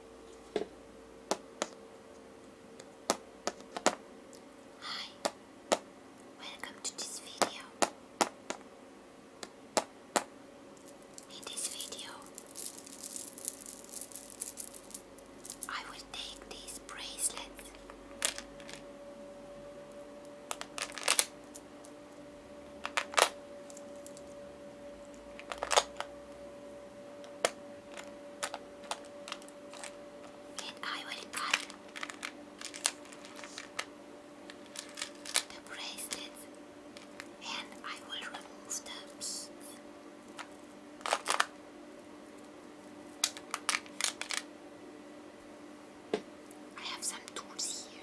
Hi, welcome to this video. In this video, I will take these bracelets. And I will cut the bracelets and I will remove the beads. I have some tools here.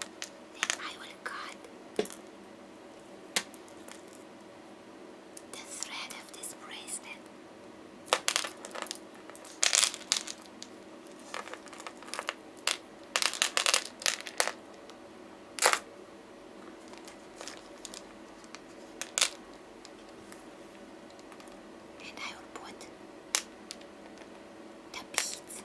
Then I will cut the thread of this bracelet. And I will put the beads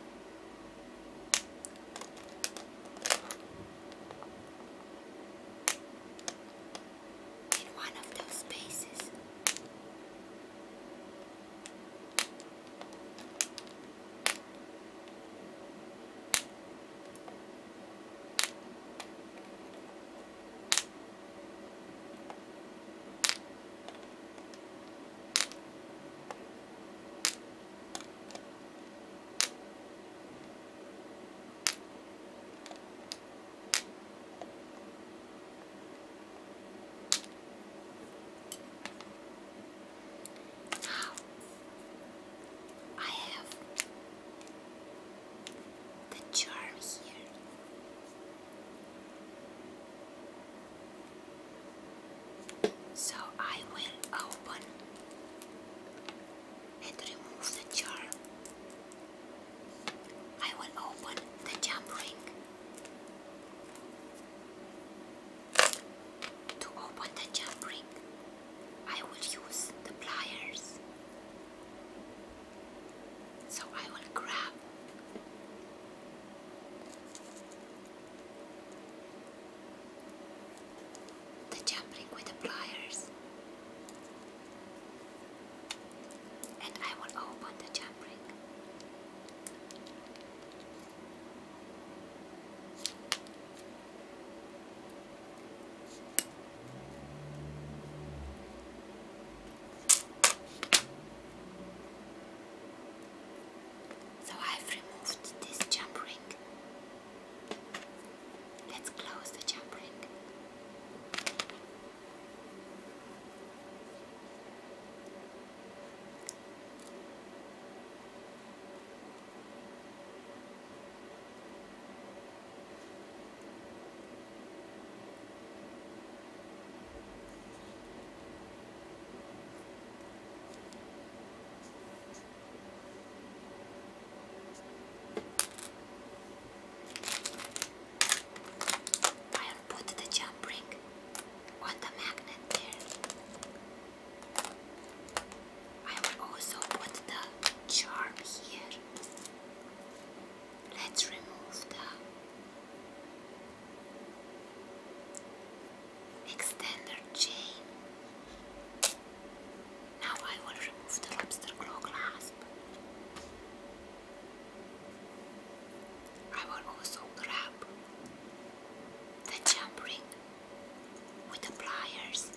in one of those spaces. Now I have the jar here. So I will open and remove the jar. I will open the jump ring. To open the jump ring, I will use the pliers. So I will grab the jump ring with the pliers. And I will open the jump ring. So I've removed this jump ring. Let's close the jump ring. I'll put the jump ring on the magnet there. I will also put the charm here. Let's remove the extender chain. Now I will remove the lobster claw clasp. I will also grab the jump ring with the pliers,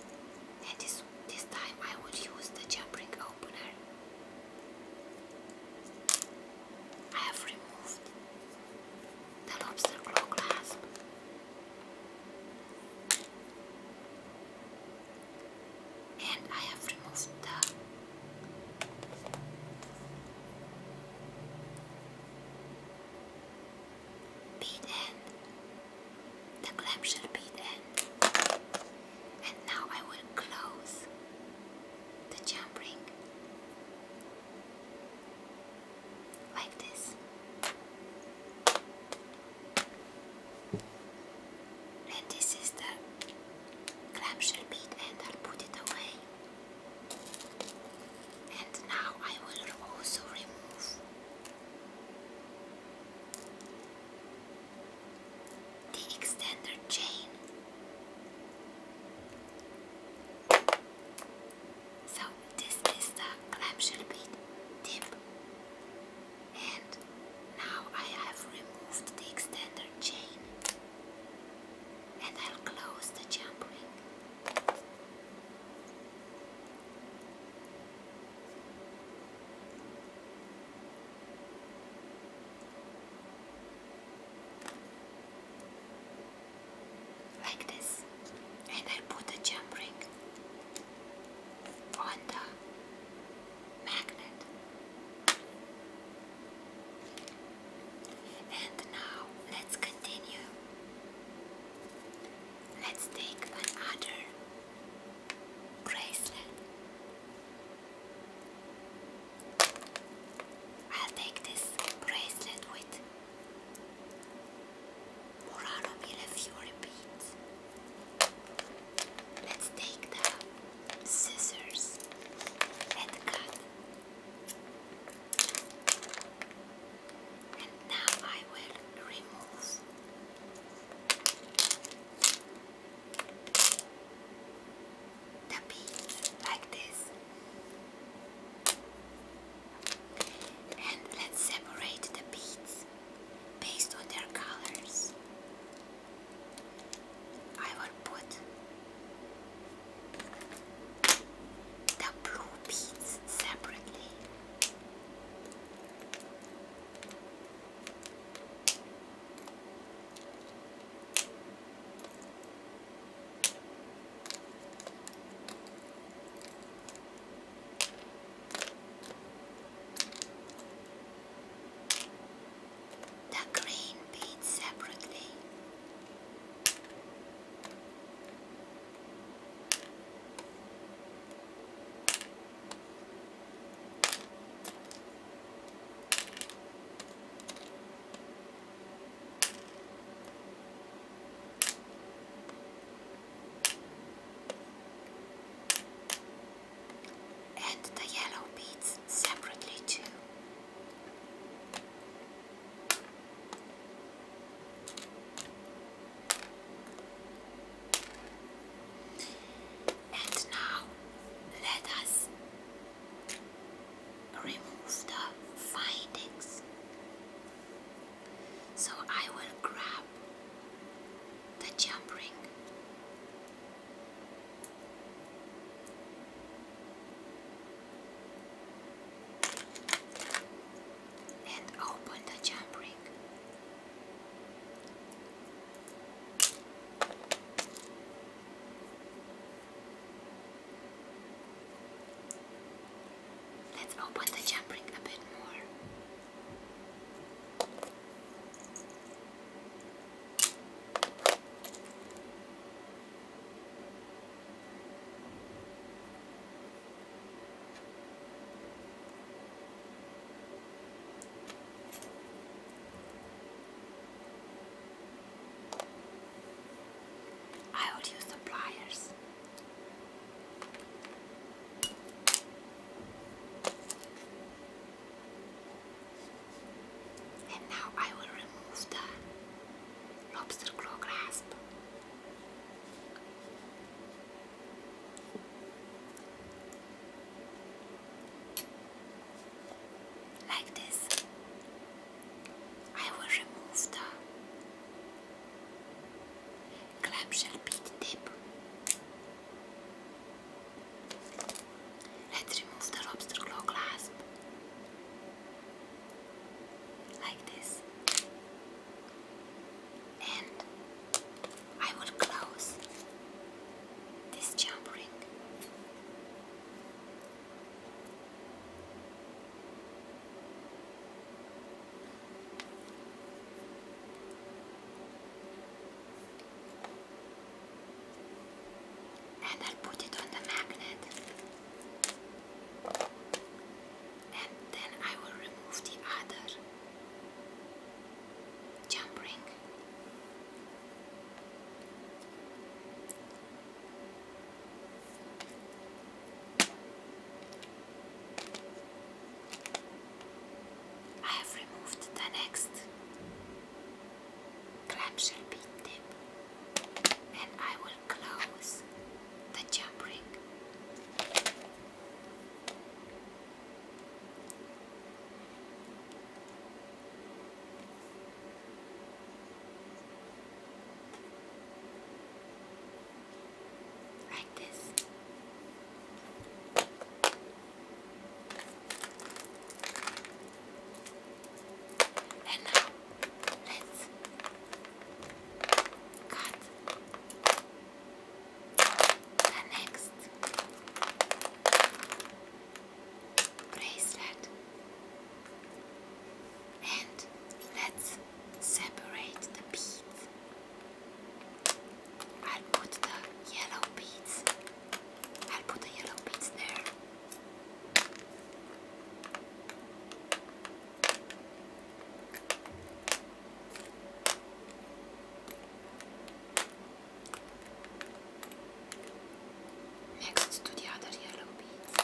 and this, this time I will use the jump ring opener. I have removed the lobster claw clasp. And I have removed the bead end, the clamshell bead end. And now I will close the jump ring like this. And this is the clamshell bead and I'll put it away. And now I will also remove the extender chain so this is the clamshell bead tip and now I have removed the extender chain and I'll close the jump ring like this and I put a jump ring on magnet and now let's continue let's take another bracelet I'll take this bracelet with Murano Mille Fiori Let's take the scissors and cut. And now I will remove the beads like this. And let's separate the beads based on their colors. I will put the blue beads separately. The green beads separately and the yellow beads separately too. And now let us remove the findings. So I will grab the jump ring. And open the jump ring. Let's open the jump ring a bit more. I will use the pliers. now I will remove the lobster claw grasp. Like this. I will remove the clamshell bead tip. Let's remove the lobster claw clasp. Like this. And I will close this jump ring. And I'll put it on the magnet. And then I will remove the other jump ring. I have removed the next clamshell pin tip and I will close the jump ring. Like this. And now let's cut next bracelet, and let's separate the beads. I'll put the yellow beads. I'll put the yellow beads there next to the other yellow beads.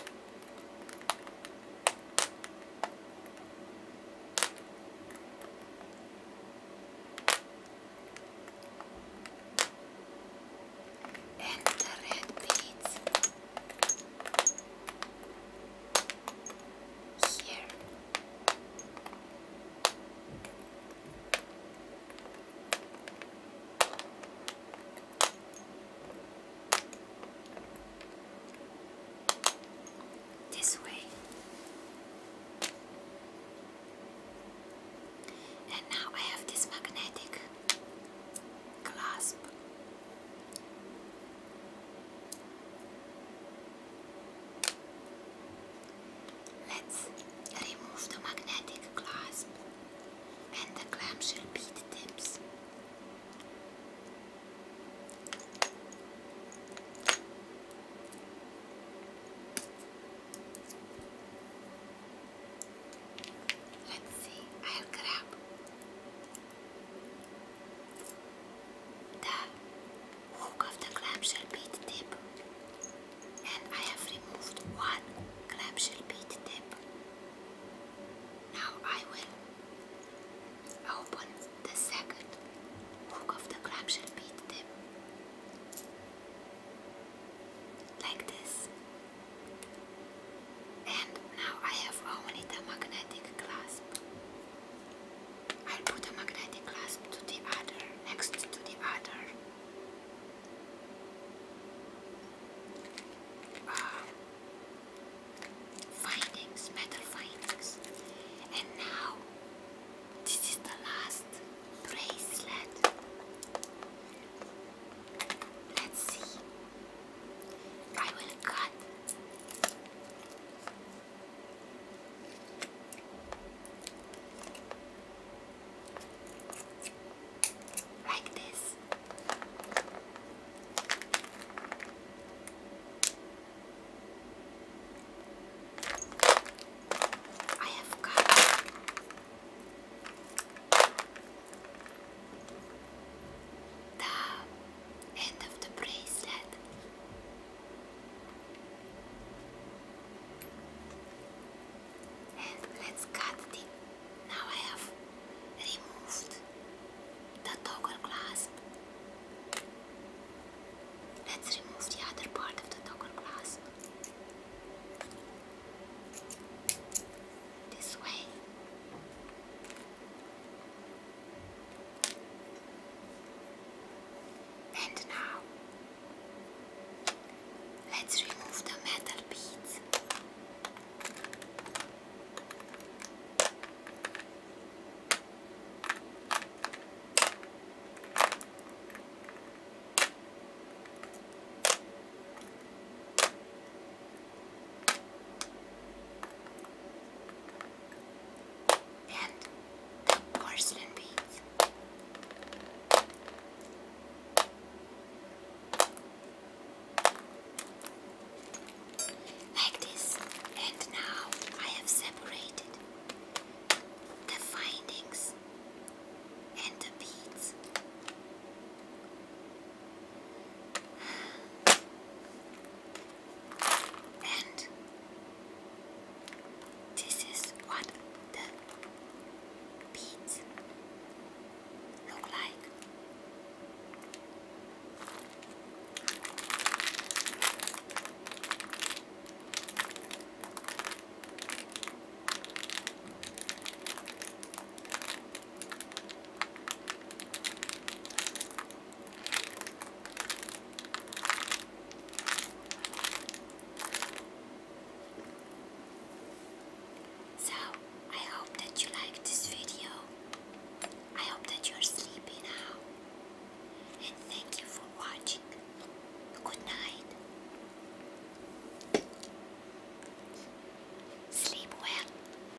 And the red beads here. This way, and now I have this magnetic clasp Let's remove the magnetic clasp and the clamshell bead tips. Let's see, I'll grab the hook of the clamshell bead tip and I have removed one clamshell bead tip. Now I will open the second hook of the clamshell bead tip like this and now I have only the magnetic clasp I'll put a magnetic clasp to the other, next to the other. Ah. findings, metal findings. And now, this is the last bracelet. Let's see. I will cut like this. I have got the end of the bracelet. And let's cut it. Now I have removed the toggle clasp. Let's remove the other part of the toggle clasp. This way. And now let's remove the metal beads. Then porcelain beads. Like this. And now I have separated the findings and the beads. And this is what the beads look like. So, I hope that you like this video. I hope that you are sleepy now. And thank you for watching. Good night. Sleep well.